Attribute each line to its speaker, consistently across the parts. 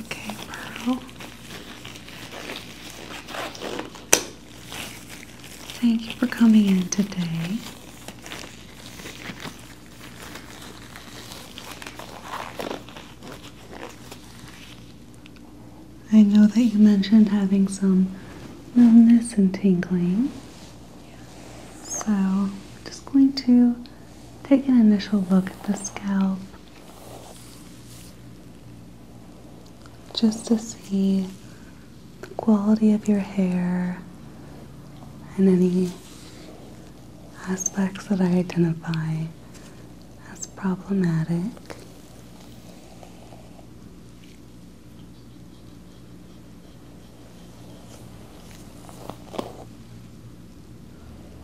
Speaker 1: Okay, Pearl. Thank you for coming in today. I know that you mentioned having some numbness and tingling. So, I'm just going to take an initial look at the scalp just to see the quality of your hair and any aspects that I identify as problematic.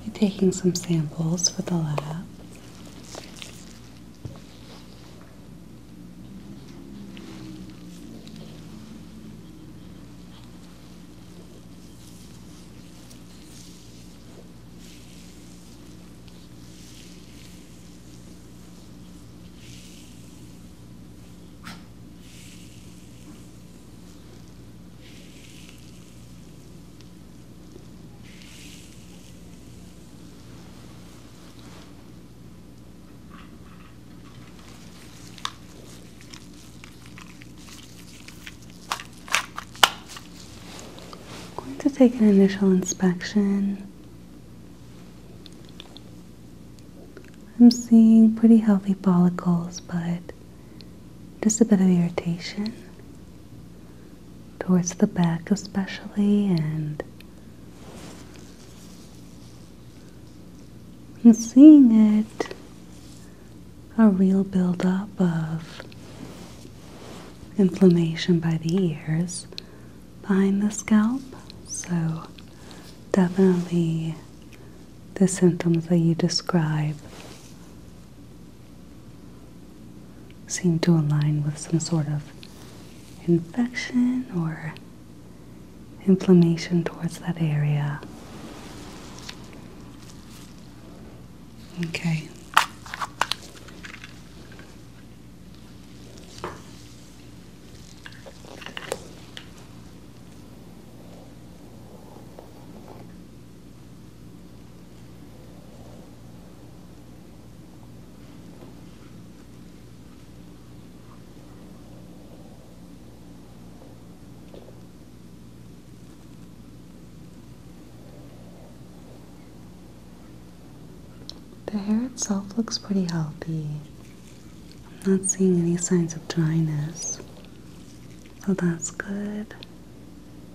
Speaker 1: I'll taking some samples for the lab. I'm going to take an initial inspection. I'm seeing pretty healthy follicles, but just a bit of irritation towards the back, especially, and, seeing it a real buildup of inflammation by the ears behind the scalp. So, definitely the symptoms that you describe seem to align with some sort of infection or inflammation towards that area. Okay. The hair itself looks pretty healthy. I'm not seeing any signs of dryness. So that's good.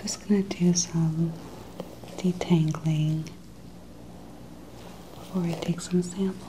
Speaker 1: Just going to do some detangling before I take some samples.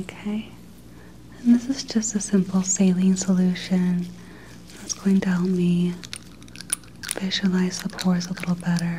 Speaker 1: Okay, and this is just a simple saline solution that's going to help me visualize the pores a little better.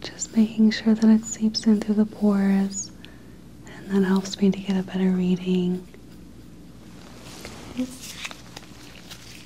Speaker 1: Just making sure that it seeps in through the pores, and that helps me to get a better reading.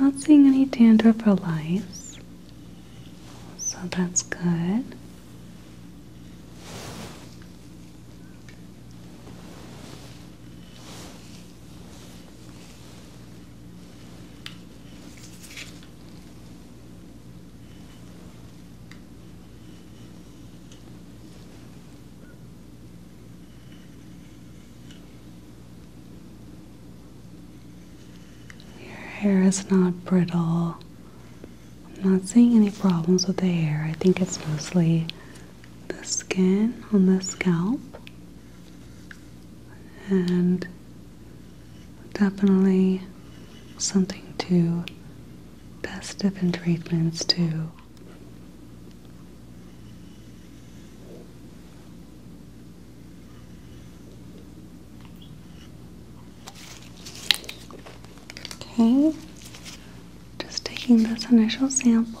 Speaker 1: Not seeing any dandruff or lice, so that's good. Your hair is not brittle. I'm not seeing any problems with the hair. I think it's mostly the skin on the scalp. And definitely something to test different treatments to Okay, just taking this initial sample.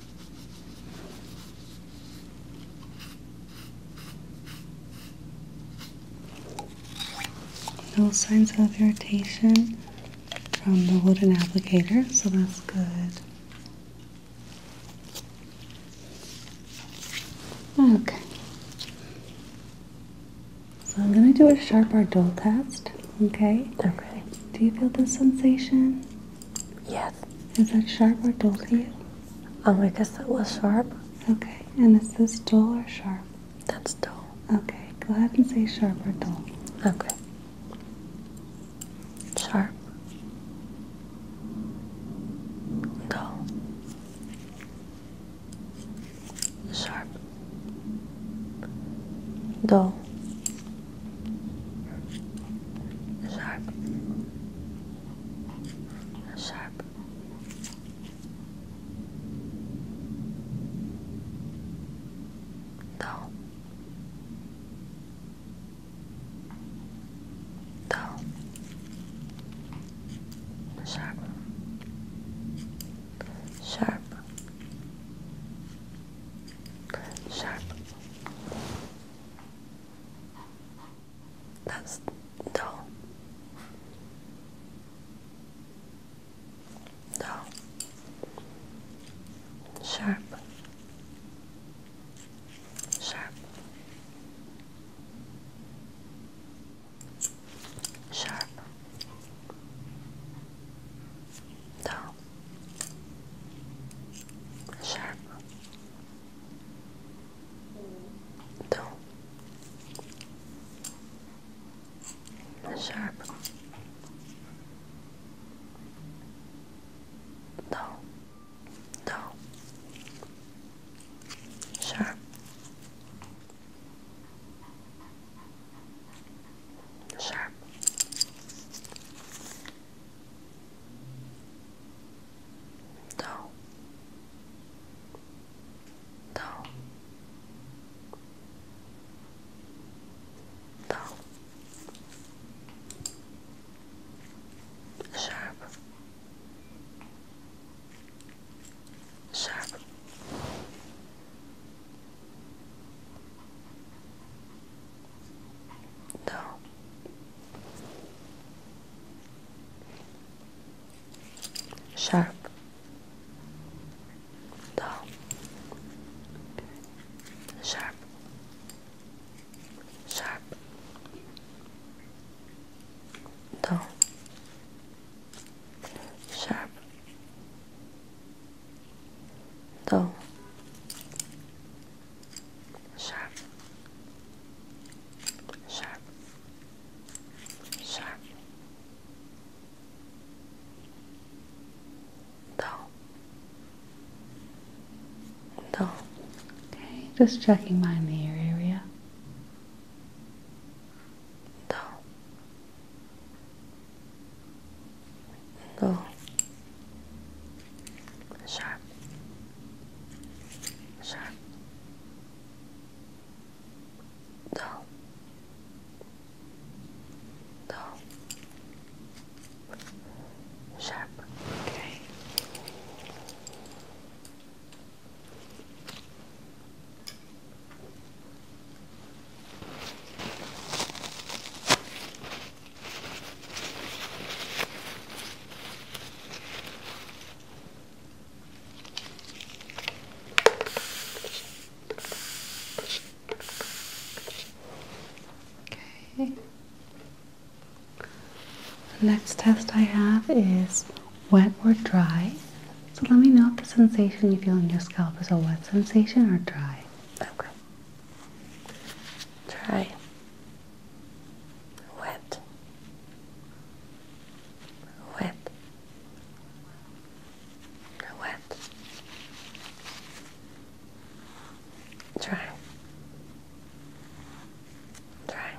Speaker 1: No signs of irritation from the wooden applicator, so that's good. Okay. So I'm going to do a sharp or dull test, okay? Okay. Do you feel this sensation? Yes. Is that sharp or dull to you? Um, I guess that was sharp. Okay. And is this dull or sharp? That's dull. Okay. Go ahead and say sharp or dull. Okay. Sharp. Dull. Sharp. Dull. Sharp sharp. Dull. Dull. Sharp. Sharp. Sharp. That's no. No. Sharp. Sharp. Sharp. No. Sharp. Então, sharp. Down, down, sharp, sharp, Do. Do. Do. sharp, sharp No. Sharp. No. Sharp. Sharp. No. Sharp. No sharp, sharp, sharp. Dull. Dull. Okay, just checking behind ear area. Dull. Dull. Sharp sharp, dull, dull, sharp. Okay. Okay. The next test I have is wet or dry. So let me know if the sensation you feel in your scalp is a wet sensation or dry. Okay. Dry wet, wet, wet, dry, dry,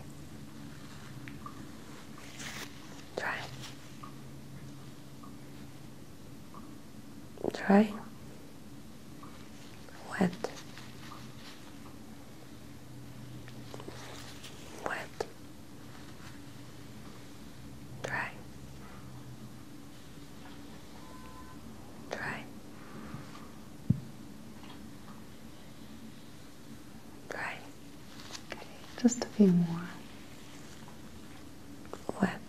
Speaker 1: dry, dry wet, wet, dry, dry, dry. Okay, just a few more. Wet,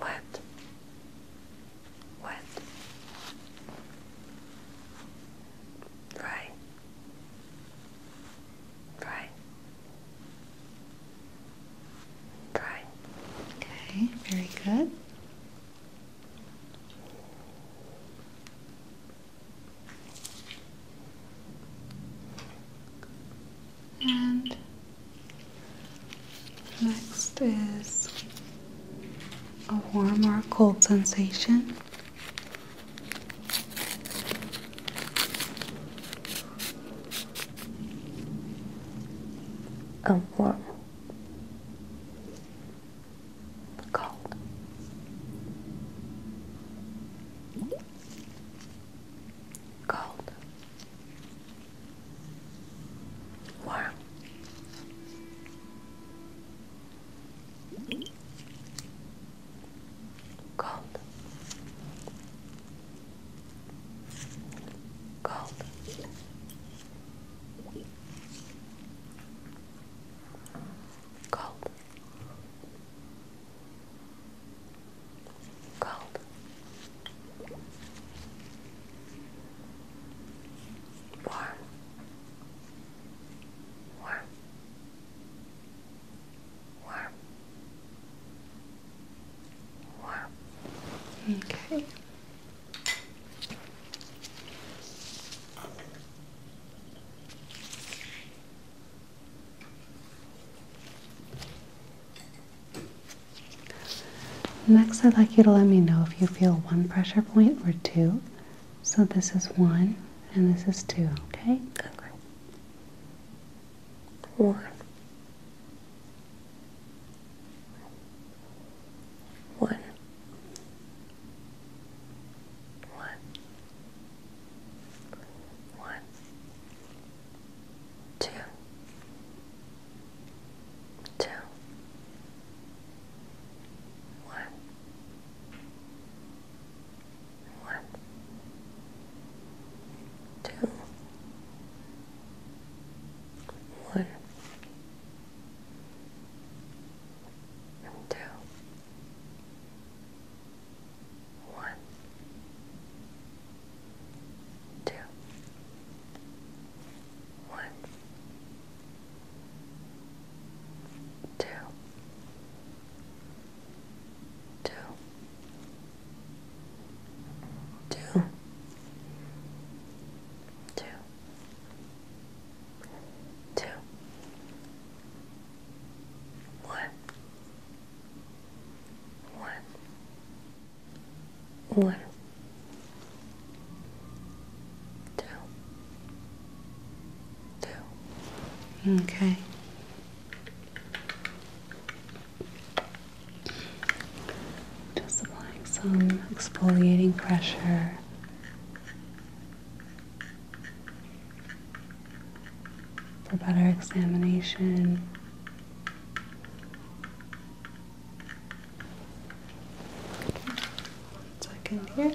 Speaker 1: wet, what? Right. Right. Right. Okay, very good. And Next is a warm or cold sensation. A warm, cold. Cold, Wow. Gold. Gold. Gold. Gold warm, warm, warm, warm. Okay. Next, I'd like you to let me know if you feel one pressure point or two. So this is one and this is two, okay? Okay. One. One. One. One. Two two, one, one, two, one, two, one two, one, two, two, two, two, two, one, one one, two, two. Okay. Just applying some exfoliating pressure. For better examination one second here.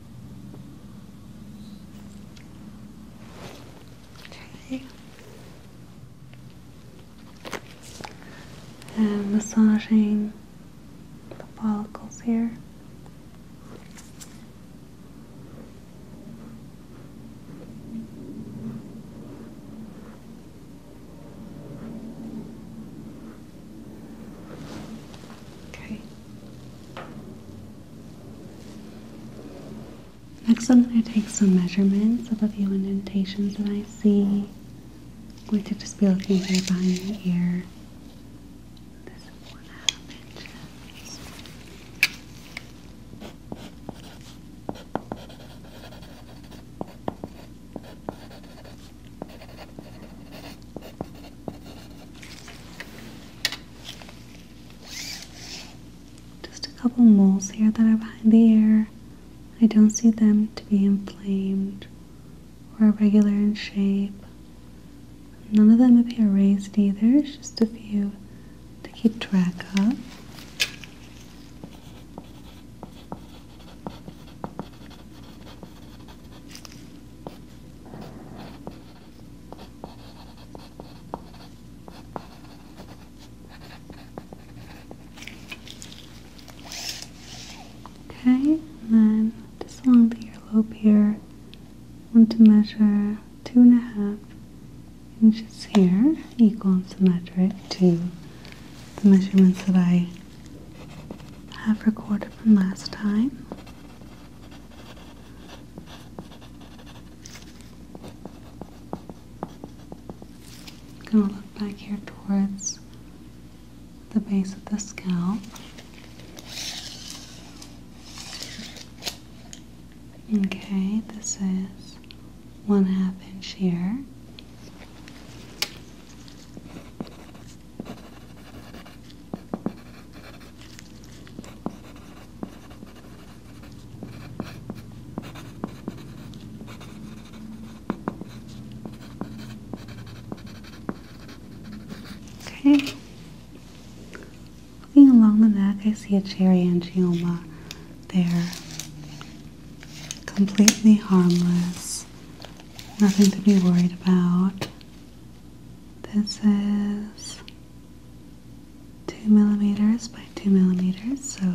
Speaker 1: Okay. And massaging the follicles here. Okay. Next, I'm going to take some measurements of a few indentations that I see. I'm going to just be looking right behind your ear. This is one half just a couple moles here that are behind the ear. I don't see them to be inflamed or irregular in shape. None of them appear raised either, it's just a few to keep track of. Okay, and then just along the earlobe here, I want to measure two and a half inches here, equal and symmetric to the measurements that I have recorded from last time. I'm going to look back here towards the base of the scalp. Okay, this is one half inch here. Okay. Looking along the neck, I see a cherry angioma there. Completely harmless. Nothing to be worried about. This is two millimeters by two millimeters, so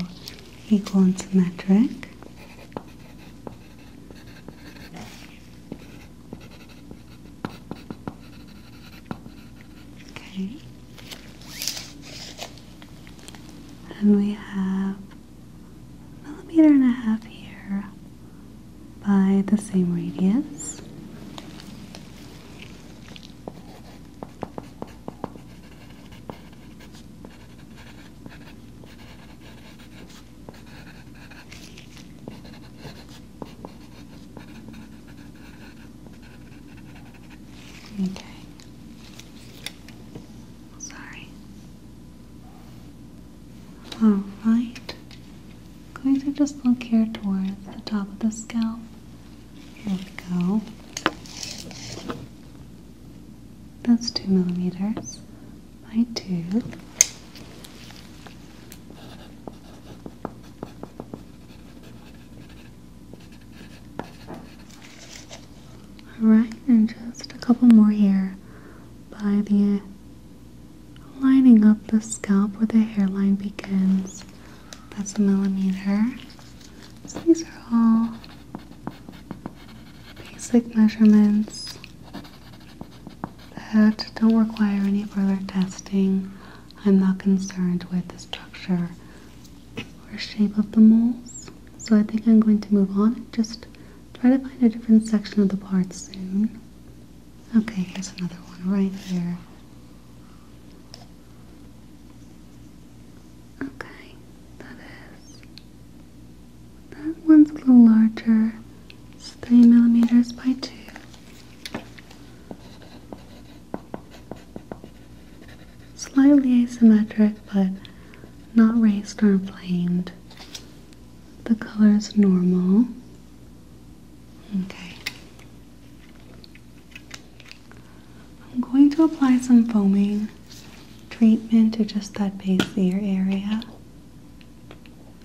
Speaker 1: equal and symmetric. Okay. And we have a millimeter and a half here, by the same radius. Okay. Sorry. Alright, going to just look here towards the top of the scalp. Here we go. That's two millimeters by two. Alright, and just a couple more here by the lining up the scalp where the hairline begins. That's a millimeter. these are all basic measurements that don't require any further testing. I'm not concerned with the structure or shape of the moles. So I think I'm going to move on and just try to find a different section of the part soon. Okay, here's another one right here. Okay, that is. That one's a little larger. It's three millimeters by two. Slightly asymmetric, but not raised or inflamed. The color is normal. Okay. I'm going to apply some foaming treatment to just that base ear area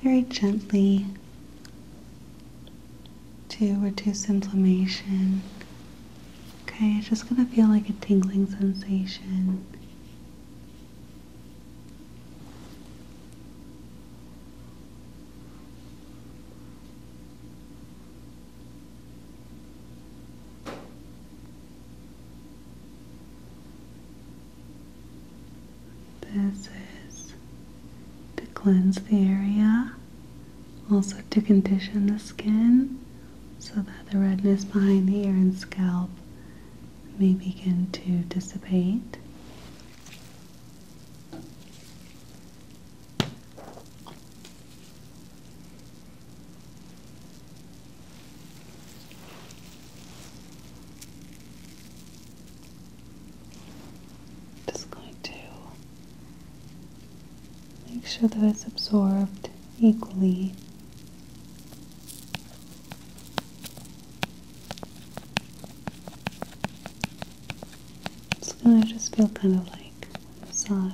Speaker 1: very gently to reduce inflammation. Okay, it's just going to feel like a tingling sensation. This is to cleanse the area, also to condition the skin so that the redness behind the ear and scalp may begin to dissipate. Just going to make sure that it's absorbed equally it's gonna just feel kind of like massage.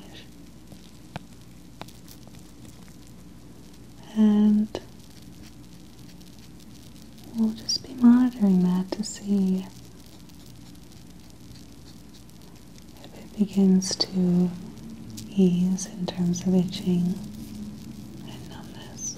Speaker 1: And we'll just be monitoring that to see if it begins to ease in terms of itching and numbness.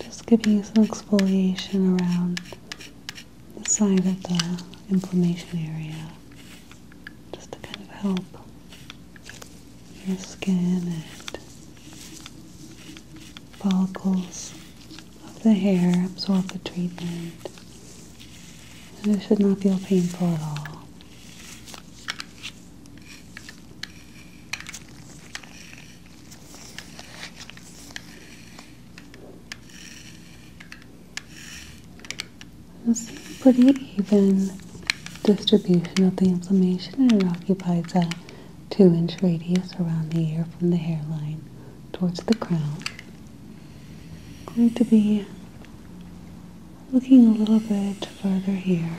Speaker 1: Just giving you some exfoliation around the side of the inflammation area just to kind of help your skin and follicles of the hair absorb the treatment. And it should not feel painful at all. This is a pretty even distribution of the inflammation and it occupies a 2 inch radius around the ear from the hairline towards the crown. Going to be looking a little bit further here.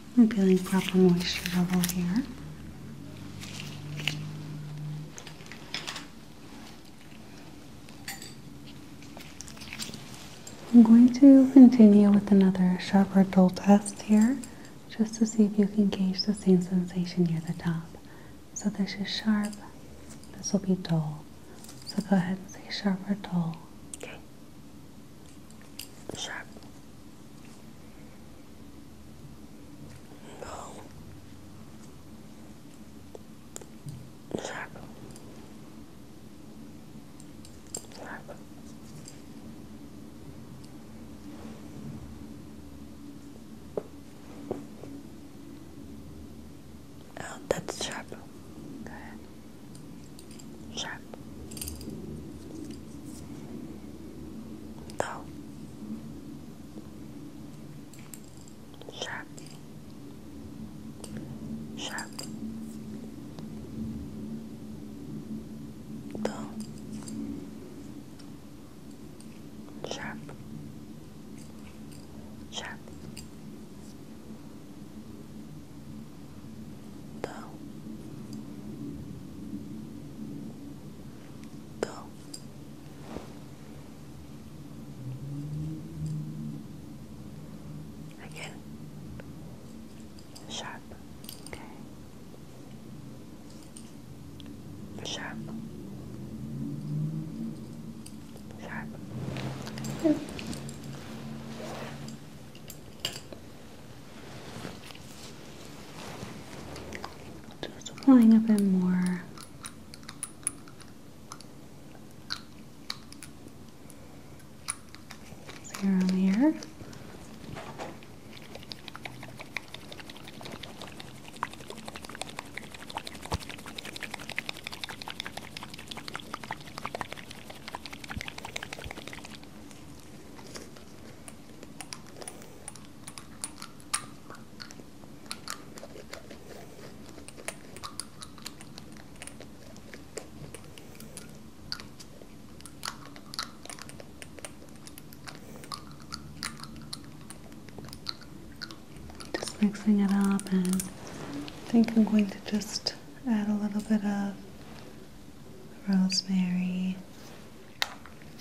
Speaker 1: I'm feeling proper moisture level here. I'm going to continue with another sharper dull test here just to see if you can gauge the same sensation near the top. So this is sharp, this will be dull. So go ahead and say sharp or dull. Okay. Sharp. No. Sharp. Sharp. Oh, that's sharp. Go Sharp. No. Sharp. Sharp. Though. Sharp. Sharp. Dull. Go. Again. Sharp. Okay. Sharp. Sharp. Good. Just applying a bit more. Serum here. Just mixing it up, and I think I'm going to just add a little bit of rosemary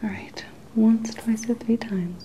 Speaker 1: All right, once, twice, or three times.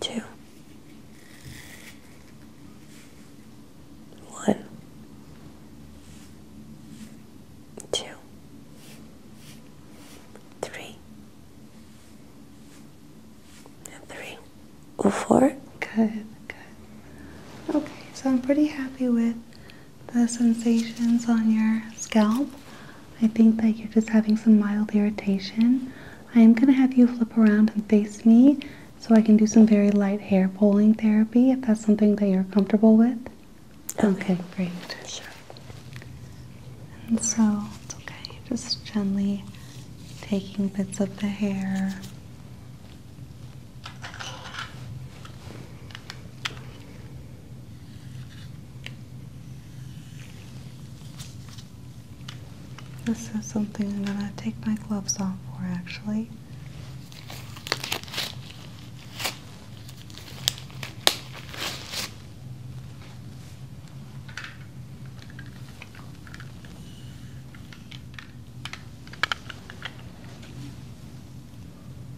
Speaker 1: two, one, two, three, Good, good. Okay, so I'm pretty happy with the sensations on your scalp. I think that you're just having some mild irritation. I am going to have you flip around and face me so I can do some very light hair pulling therapy if that's something that you're comfortable with. Okay, great. Sure. And so it's okay, just gently taking bits of the hair. This is something I'm gonna take my gloves off for actually.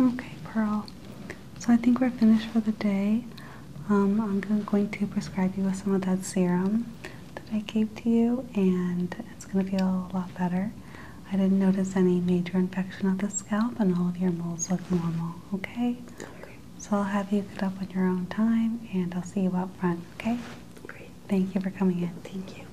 Speaker 1: Okay, Pearl. So I think we're finished for the day. Um, I'm going to prescribe you with some of that serum that I gave to you, and it's going to feel a lot better. I didn't notice any major infection of the scalp, and all of your moles look normal. Okay. Okay. So I'll have you get up on your own time, and I'll see you out front. Okay. Great. Thank you for coming in. Thank you.